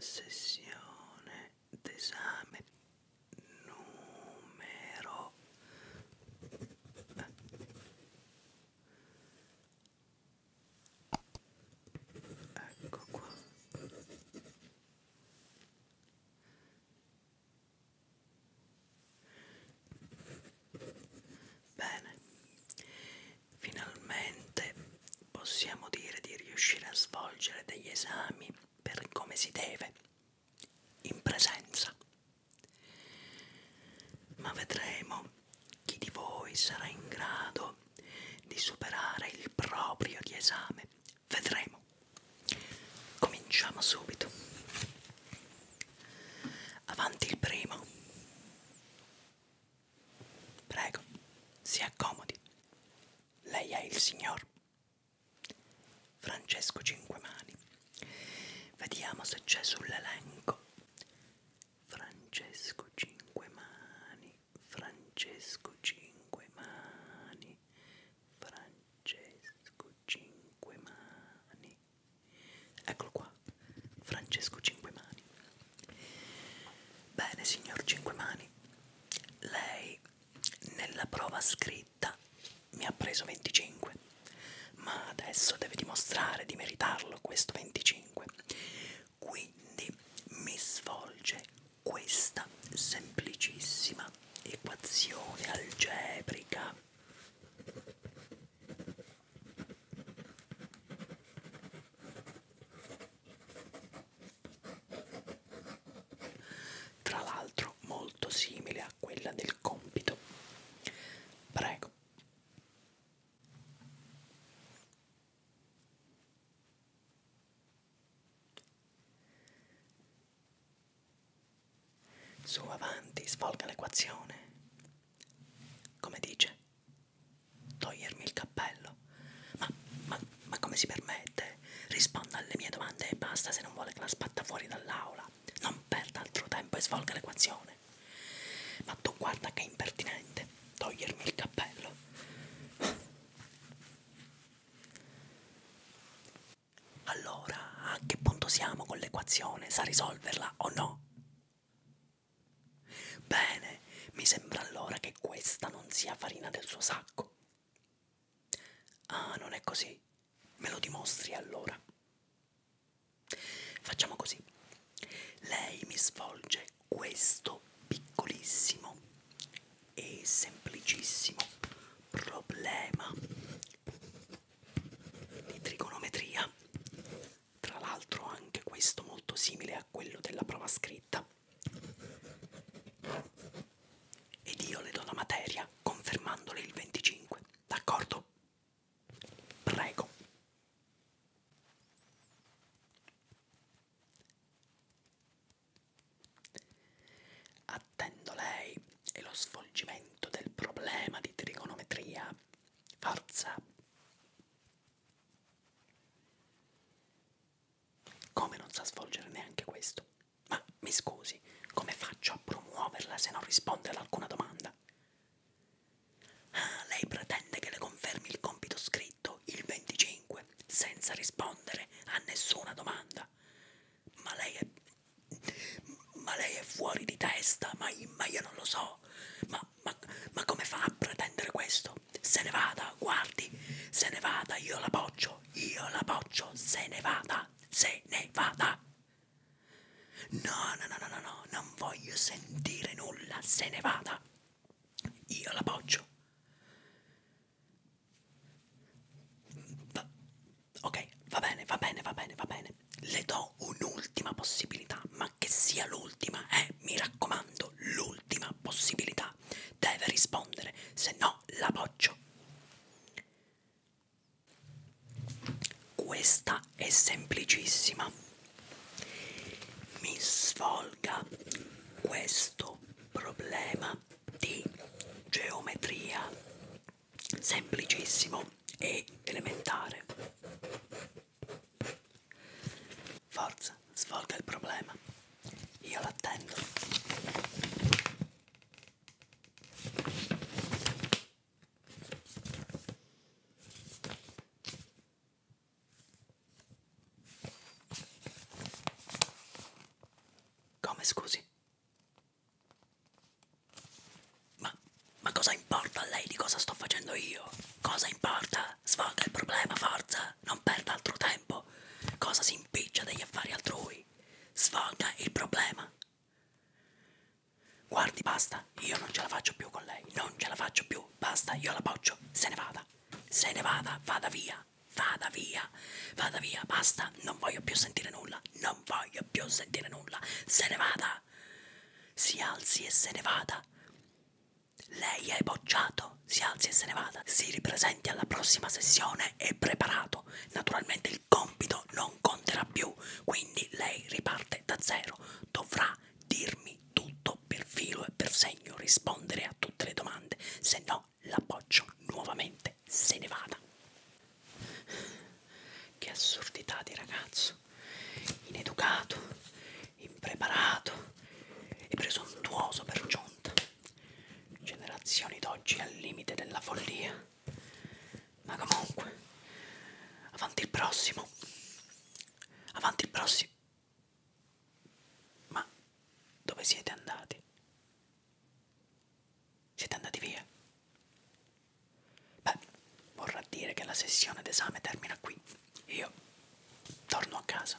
sessione d'esame numero eh, ecco qua bene finalmente possiamo dire di riuscire a svolgere degli esami per come si deve, in presenza. Ma vedremo chi di voi sarà in grado di superare il proprio di esame. Vedremo. Cominciamo subito. Avanti il primo. Prego, si accomodi. Lei è il signor Francesco Cinquemani. Vediamo se c'è sull'elenco. Francesco Cinquemani, Francesco Cinquemani, Francesco Cinquemani, Eccolo qua, Francesco Cinquemani. Bene, signor Cinquemani, lei nella prova scritta mi ha preso 25, ma adesso deve dimostrare di meritarlo questo 25. Quindi mi svolge questa semplicissima equazione algebrica tra l'altro molto simile a quella del compito. Prego. Su avanti, svolga l'equazione. Come dice? Togliermi il cappello. Ma, ma, ma come si permette? Risponda alle mie domande e basta se non vuole che la spatta fuori dall'aula. Non perda altro tempo e svolga l'equazione. Ma tu guarda che è impertinente togliermi il cappello. Allora, a che punto siamo con l'equazione? Sa risolverla o no? Bene, mi sembra allora che questa non sia farina del suo sacco. Ah, non è così. Me lo dimostri allora. Facciamo così. Lei mi svolge questo piccolissimo e semplicissimo problema di trigonometria tra l'altro anche questo molto simile a quello della prova scritta ed io le do la materia confermandole il 25 d'accordo prego Attendo lei e lo svolgimento del problema di trigonometria. Forza! Come non sa svolgere neanche questo? Ma mi scusi, come faccio a promuoverla se non risponde ad alcuna domanda? Ah, lei pretende che le confermi il compito scritto letto il 25 senza rispondere a nessuna domanda. Ma lei è, ma lei è fuori di testa, ma, ma io non lo so. Ma, ma, ma come fa a pretendere questo? Se ne vada, guardi, se ne vada, io la boccio, io la boccio, se ne vada, se ne vada. No, no, no, no, no, no, non voglio sentire nulla, se ne vada. Io la boccio. Va ok, va bene, va bene, va bene, va bene. Le do un'ultima possibilità, ma che sia l'ultima, eh, mi raccomando, l'ultima possibilità. Deve rispondere, se no la boccio. Questa è semplicissima mi svolga questo problema di geometria semplicissimo e elementare forza svolga il problema io l'attendo come scusi? Ma, ma cosa importa a lei di cosa sto facendo io? Cosa importa? Svolga il problema, forza! Non perda altro tempo! Cosa si impiccia degli affari altrui? Svolga il problema! Guardi, basta, io non ce la faccio più con lei, non ce la faccio più, basta, io la boccio, se ne vada, se ne vada, vada via, vada via, vada via, basta, non voglio più sentire nulla, non voglio più sentire nulla, se ne vada, si alzi e se ne vada. Lei è bocciato, si alzi e se ne vada, si ripresenti alla prossima sessione e preparato. Naturalmente il compito non conterà più, quindi lei riparte 270 dovrà dirmi tutto per filo e per segno, rispondere a tutte le domande, se no l'appoggio nuovamente se ne vada. Che assurdità di ragazzo, ineducato, impreparato e presuntuoso per giunta. Generazioni d'oggi al limite della follia. Ma comunque, avanti il prossimo. Avanti il prossimo. Ma dove siete andati? Siete andati via? Beh, vorrà dire che la sessione d'esame termina qui. Io torno a casa.